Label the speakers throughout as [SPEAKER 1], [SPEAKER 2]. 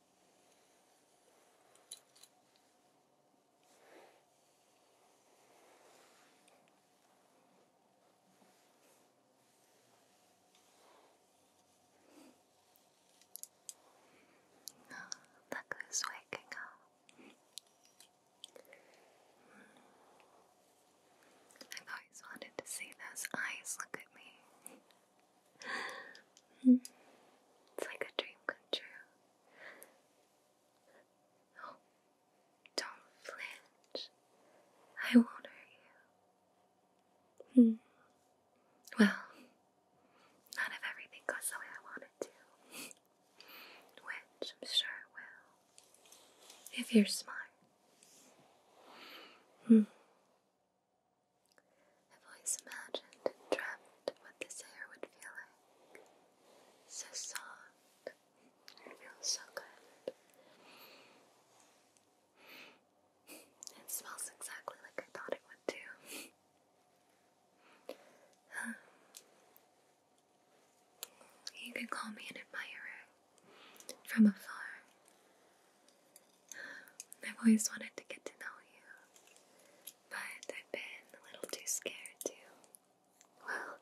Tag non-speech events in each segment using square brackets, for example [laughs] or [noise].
[SPEAKER 1] Oh, look waking up. I've always wanted to see those eyes look at me. Hmm. it's like a dream come true. Oh, don't flinch. I won't hurt you. Hmm. Well, not if everything goes the way I want to. [laughs] Which I'm sure it will. If you're smart. Hmm. I've always imagined and dreamt what this hair would feel like. So soft. It feels so good. It smells exactly like I thought it would too. you can call me an admirer from afar. I've always wanted to get to know you, but I've been a little too scared to, well,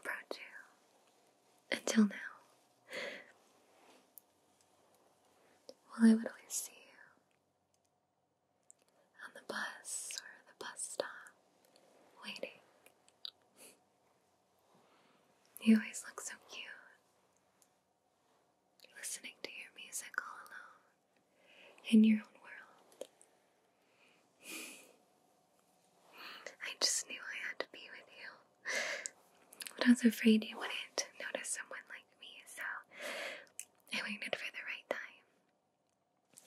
[SPEAKER 1] approach you. Until now. Well, I would always see you on the bus or the bus stop, waiting. You always look so cute listening to your music all alone in your own world. I just knew I had to be with you, but I was afraid you wouldn't notice someone like me, so I waited for the right time.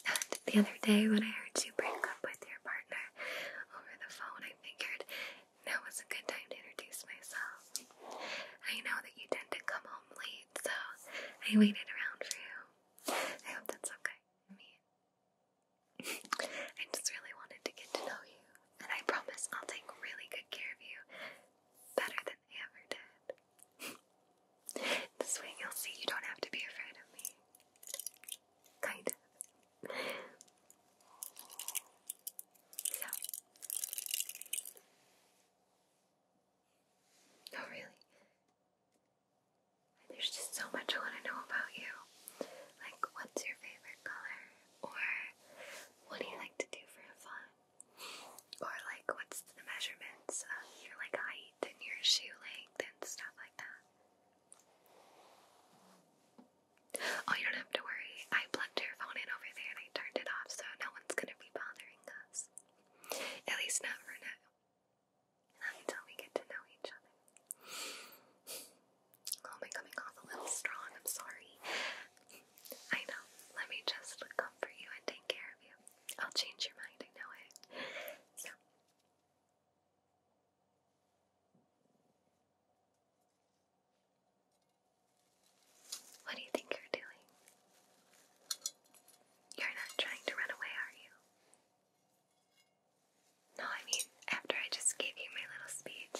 [SPEAKER 1] And the other day, when I heard you break up with your partner over the phone, I figured that was a good time to introduce myself. I know that you tend to come home late, so I waited around for you. I hope that's okay me. [laughs] I just really wanted to get to know you, and I promise I'll take really good care of you, better than I ever did. [laughs] this way you'll see you don't have to be afraid of me. Kind of. So. Oh, really. There's just so much I want to know about you. Like, what's your favorite color? Or, what do you like to do for fun? Or, like, what's the measurements of your, like, height and your shoe length and stuff like that? Oh, you don't have to worry. I plan left her phone in over there and I turned it off, so no one's gonna be bothering us. At least not for now. until we get to know each other. am [laughs] oh, I coming off a little strong? I'm sorry. I know. Let me just comfort you and take care of you. I'll change your mind, I know it. So. What do you think you're doing? You're not trying to run away, are you? No, I mean, after I just gave you my little speech.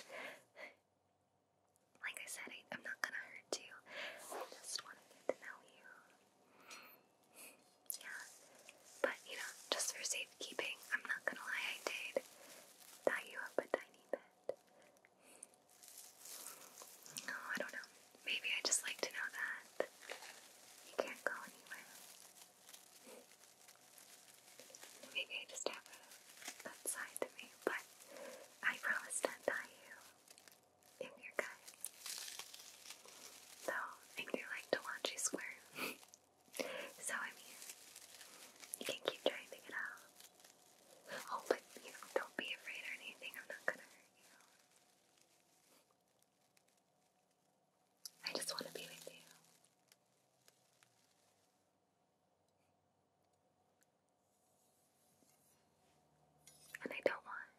[SPEAKER 1] Like I said, I, am not gonna hurt you. I just want to know you. Yeah. But, you know, just for safekeeping, I'm not gonna lie, I did tie you up a tiny bit. No, oh, I don't know. Maybe I just like to know that you can't go anywhere. Maybe I just have that side to me, but I promise to die you in your gut. Though I do like to watch [laughs] so I'm here. You can keep trying to out. Oh, but you know, don't be afraid or anything. I'm not gonna hurt you. I just want to be with you. And I don't want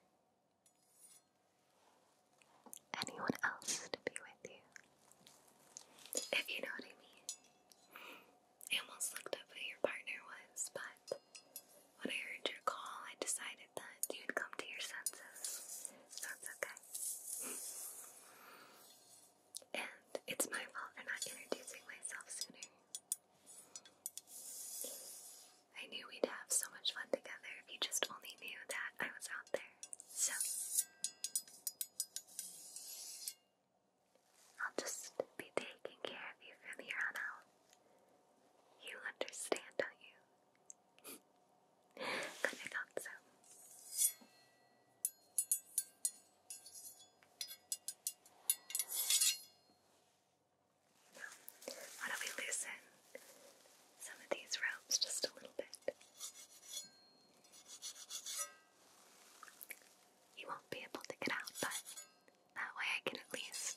[SPEAKER 1] anyone else to be with you. If you know what I mean. I almost looked up who your partner was, but when I heard your call, I decided that you'd come to your senses. So okay. and it's my fault for not introducing myself sooner. I knew we'd have so much fun together if you just only knew that I was out there. So. I'll just be taking care of you from here on out. You understand, don't you? [laughs] Good, I thought so. why don't we loosen some of these ropes just a little bit? You won't be able to get out, but that way I can at least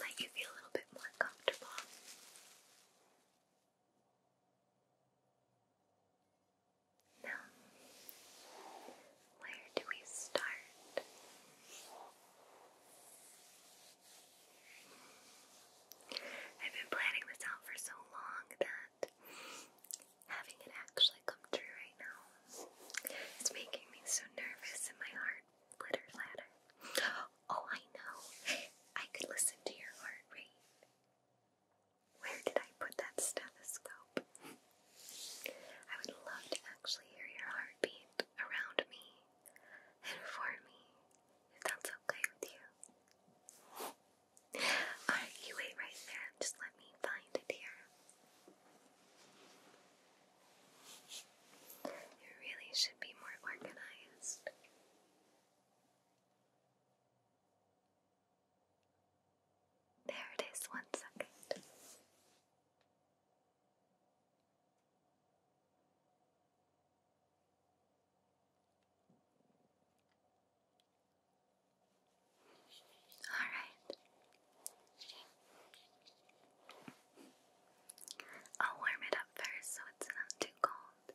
[SPEAKER 1] let you feel a little bit more comfortable. Now, where do we start? I've been planning this out for so long that having it actually come true right now. It's making me so nervous in my heart flutter flatter. [gasps] Oh, I know. I could listen to your heart rate. Where did I put that stethoscope? I would love to actually hear your heartbeat around me and for me, if that's okay with you. Alright, you wait right there just let me find it here. You really should be more organized. There it is, one second. All right. I'll warm it up first so it's not too cold.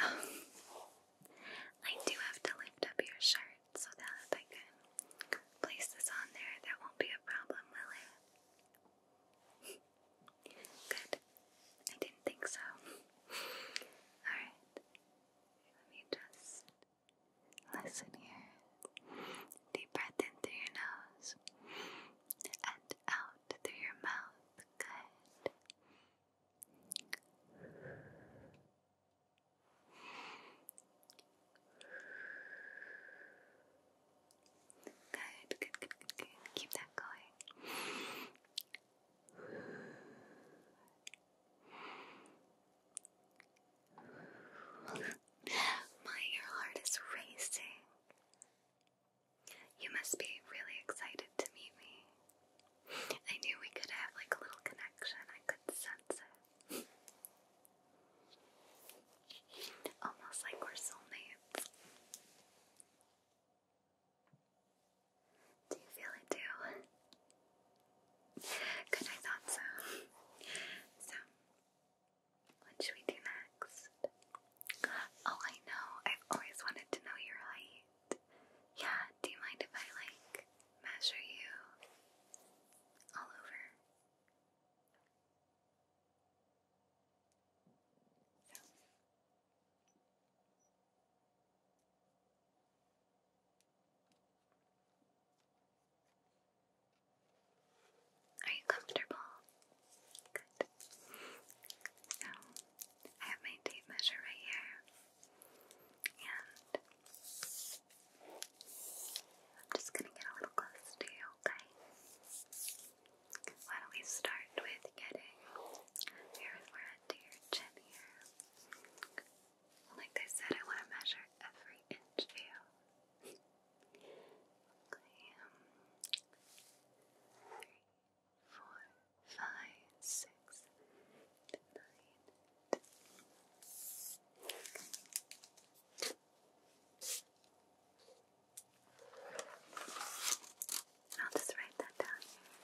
[SPEAKER 1] [laughs] I do have to lift up your shirt so that I can place this on there. That won't be a problem, will it? [laughs] Good. I didn't think so. [laughs] Alright. Let me just listen here. Deep breath in through your nose and out through your mouth. Good. Good, good, good, Keep that going. My heart is racing. You must be really excited to meet me. I knew we could have like a little connection. I could sense it. Almost like we're soulmates. Do you feel it too? Good, I thought so. So, what should we do next? Oh, I know. I've always wanted to know your height. Yeah, do you mind if I, like, measure you all over? Are you comfortable? Good. So, I have my tape measure right here, and I'm just gonna get a little close to you, okay? Why don't we start with getting your forehead to your chin here? Like I said, I want to measure every inch of you. okay, um, five, six, nine, ten. I'll just write that down here.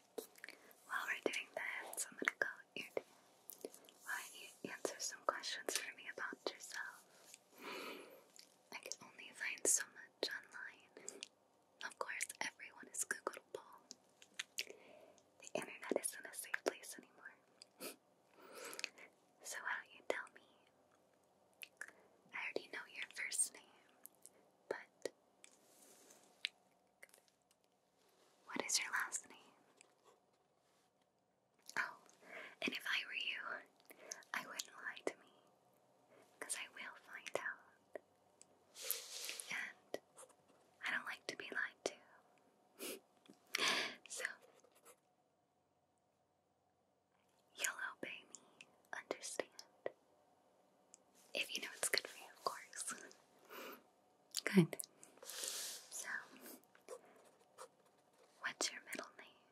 [SPEAKER 1] While we're doing this, I'm gonna go Why uh, don't you answer some questions for me about yourself? I can only find so much online. Of course, everyone is Googleable. The internet isn't a safe place anymore. [laughs] so why don't you tell me? I already know your first name, but what is your last name? Oh, and if I were you, I wouldn't lie to me, because I will find out. And I don't like to be lied to. [laughs] so, you'll obey me, understand? If you know it's good for you, of course. [laughs] Good. So, what's your middle name?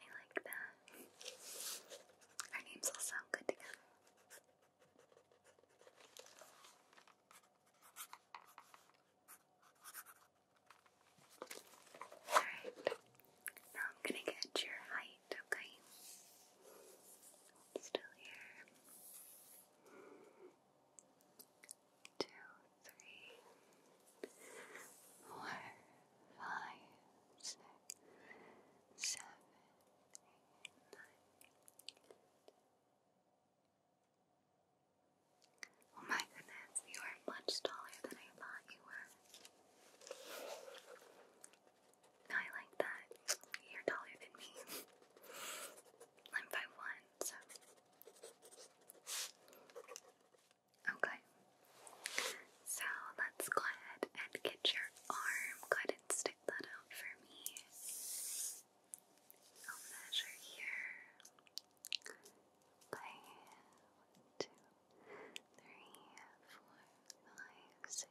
[SPEAKER 1] I like that. Our names all sound good together. Alright, now I'm gonna get your height, okay? Still here two, three, four, five, six, seven, eight, nine. Oh my goodness, you are much taller than I thought you were. [laughs] I like that. You're taller than me. [laughs] one by one, so okay. So let's go ahead and get your arm. Go ahead and stick that out for me. I'll measure here one, two, three, four, five, six,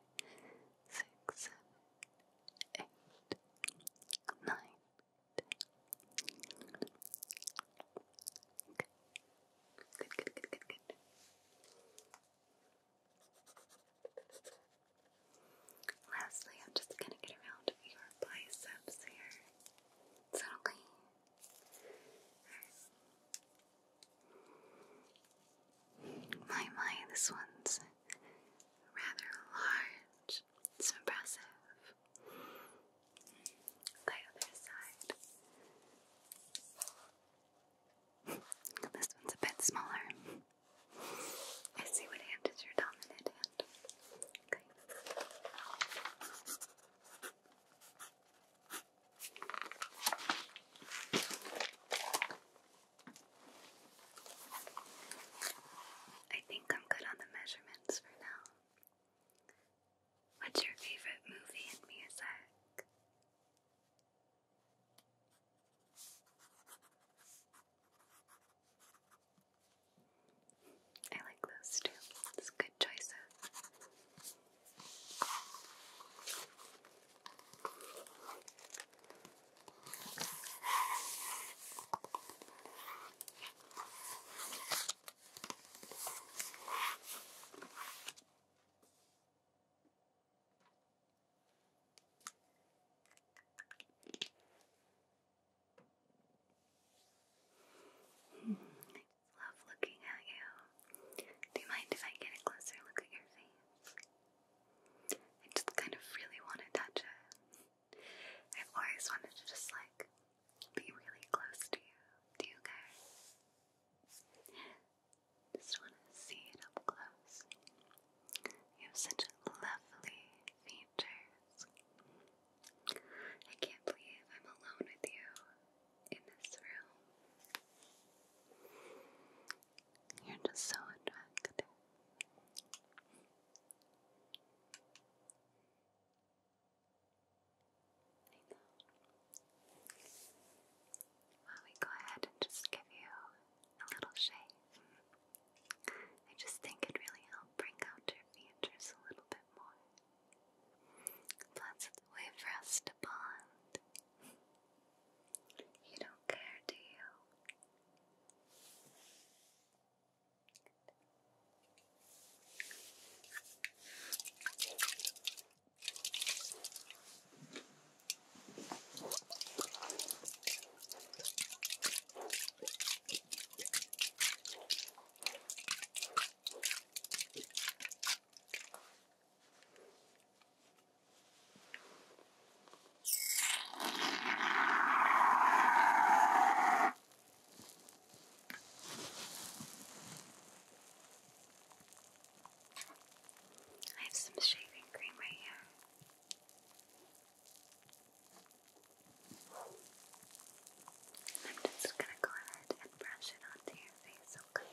[SPEAKER 1] six, seven, eight, nine, ten. Okay. Good, good, good, good, good. Lastly, I'm just gonna get around your biceps here. It's my, my, this one's rather large. It's impressive. Okay, other side. This one's a bit smaller. I see what hand is your dominant hand. I think I'm good on the measurements for now. What's your favorite movie and music? I like those too. It's good choices. I love looking at you. Do you mind if I get a closer look at your face? I just kind of really want to touch it. I've always wanted to just like be really close to you. Do you guys? Just want to see it up close. You have such lovely features. I can't believe I'm alone with you in this room. You're just so attractive. I we go ahead and just give you a little shave. I just think it really helped bring out your features a little bit more. Plus, it's a way for us to bond. You don't care, do you? I have some shaving cream right here. I'm just gonna go ahead and brush it onto your face, Okay.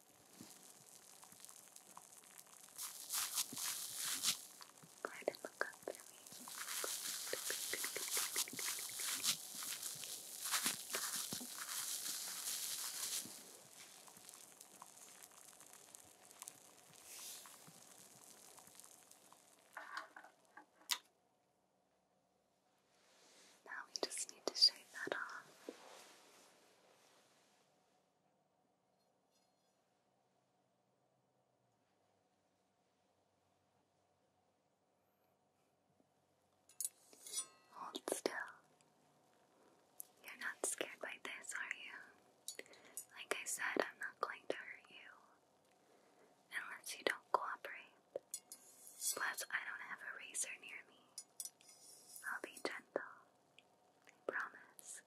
[SPEAKER 1] Go ahead and look up for me. Now we just need to shave that off. Hold still. You're not scared by this, are you? Like I said, I'm not going to hurt you. Unless you don't cooperate. Plus, I don't have a razor near me. I'll be gentle. promise.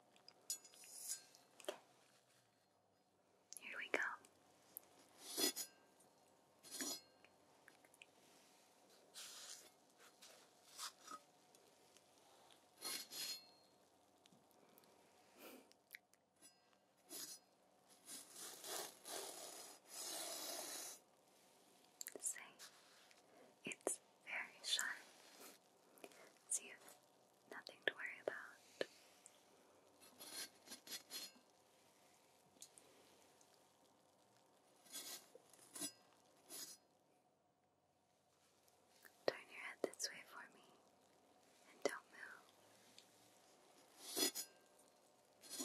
[SPEAKER 1] Here we go. Say, it's very shy. So nothing to worry about. Turn your head this way for me and don't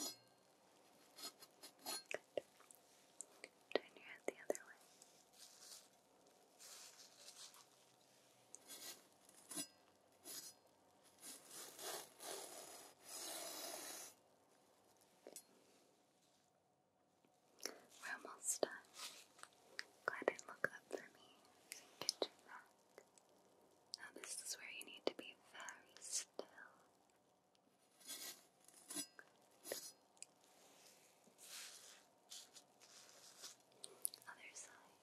[SPEAKER 1] move. Good. Turn your head the other way. We're almost done. Go ahead and up for me so you back. Now, this is where you need to be very still Good. Other side.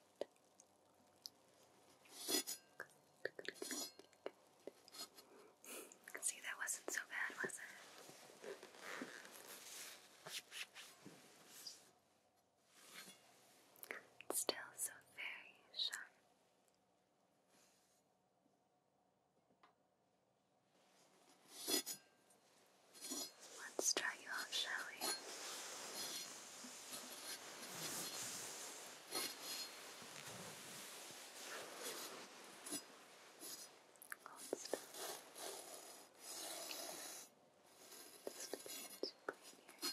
[SPEAKER 1] See, that wasn't so bad, was it? still so very sharp. Let's try you out, shall we? Hold still. Just a bit cleaner. Good.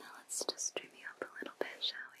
[SPEAKER 1] Now let's just dream you up a little bit, shall we?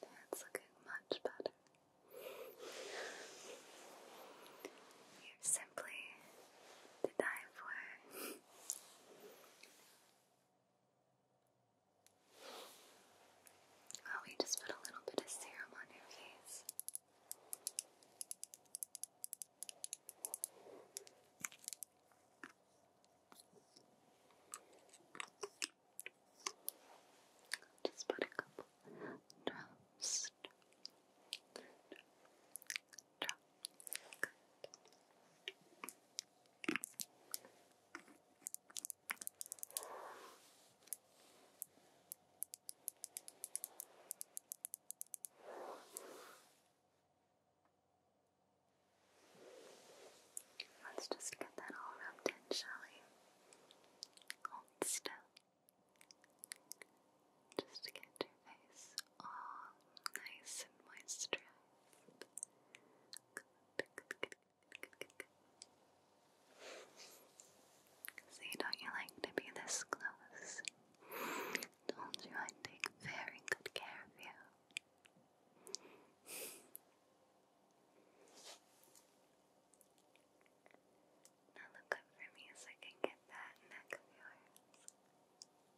[SPEAKER 1] That's looking much better. You're simply the time for. oh, we just put a little bit of serum on your face. Just put a couple drops. Drop. Good. Let's just get that all rubbed in, shall we? Hold still just to get your face all nice and moisturized. See, don't you like to be this close? Told you I'd take very good care of you. Now look up for me so I can get that neck of yours.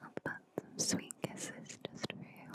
[SPEAKER 1] I'll some sweet kisses just for you.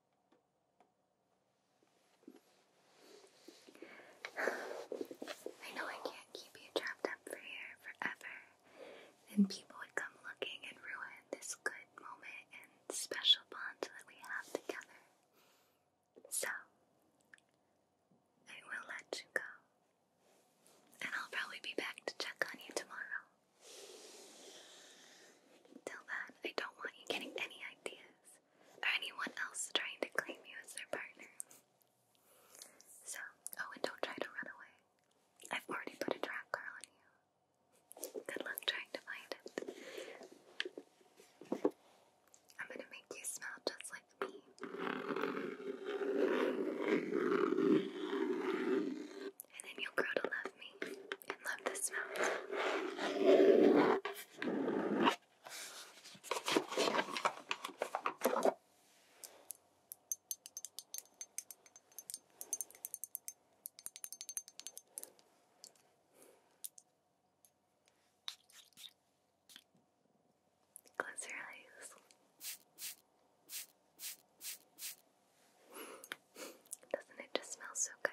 [SPEAKER 1] I know I can't keep you trapped up here forever. Then people would come looking and ruin this good moment and special bond that we have together. So, I will let you go. And I'll probably be back to check on you tomorrow. Till then, I don't want you getting any ideas or anyone else trying to claim you as their partner. So, oh, and don't try to run away. I've already put a trap on you. Good luck trying to find it. I'm gonna make you smell just like me. And then you'll grow to love me and love this smell. Close your eyes. Doesn't it just smell so good?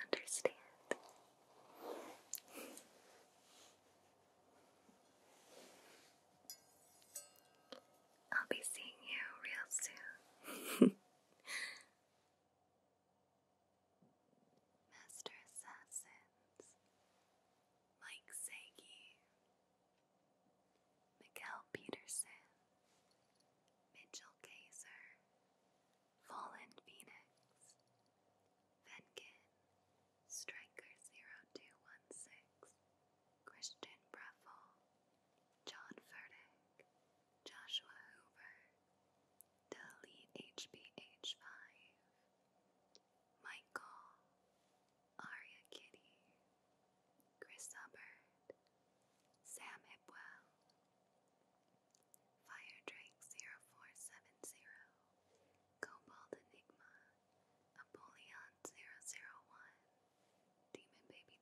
[SPEAKER 1] understand. I'll be seeing you real soon. [laughs] Master Assassins Mike Sagi, Miguel Peterson, Mitchell Kaiser, Fallen Phoenix, Venkin, Striker0216, Christian Breffel, John Furtick, Joshua Hoover, Delete HBH5, Michael, Aria Kitty, Chris Hubbard, Sam Hipwell, Fire Firedrake0470, Cobalt Enigma, Apollyon001, Demon Baby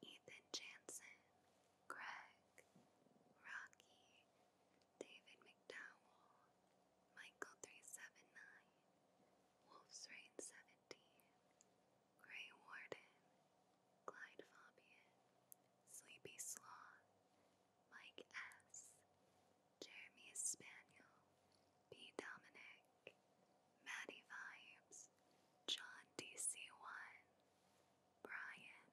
[SPEAKER 1] 12, Ethan Jansen, Greg, Rocky, David McDowell, Michael379, Wolf's Rain 17, Grey Warden, Clyde Fabian, Sleepy Sloth, Mike S., Jeremy Spaniel, B. Dominic, Maddie Vibes, John DC1, Brian.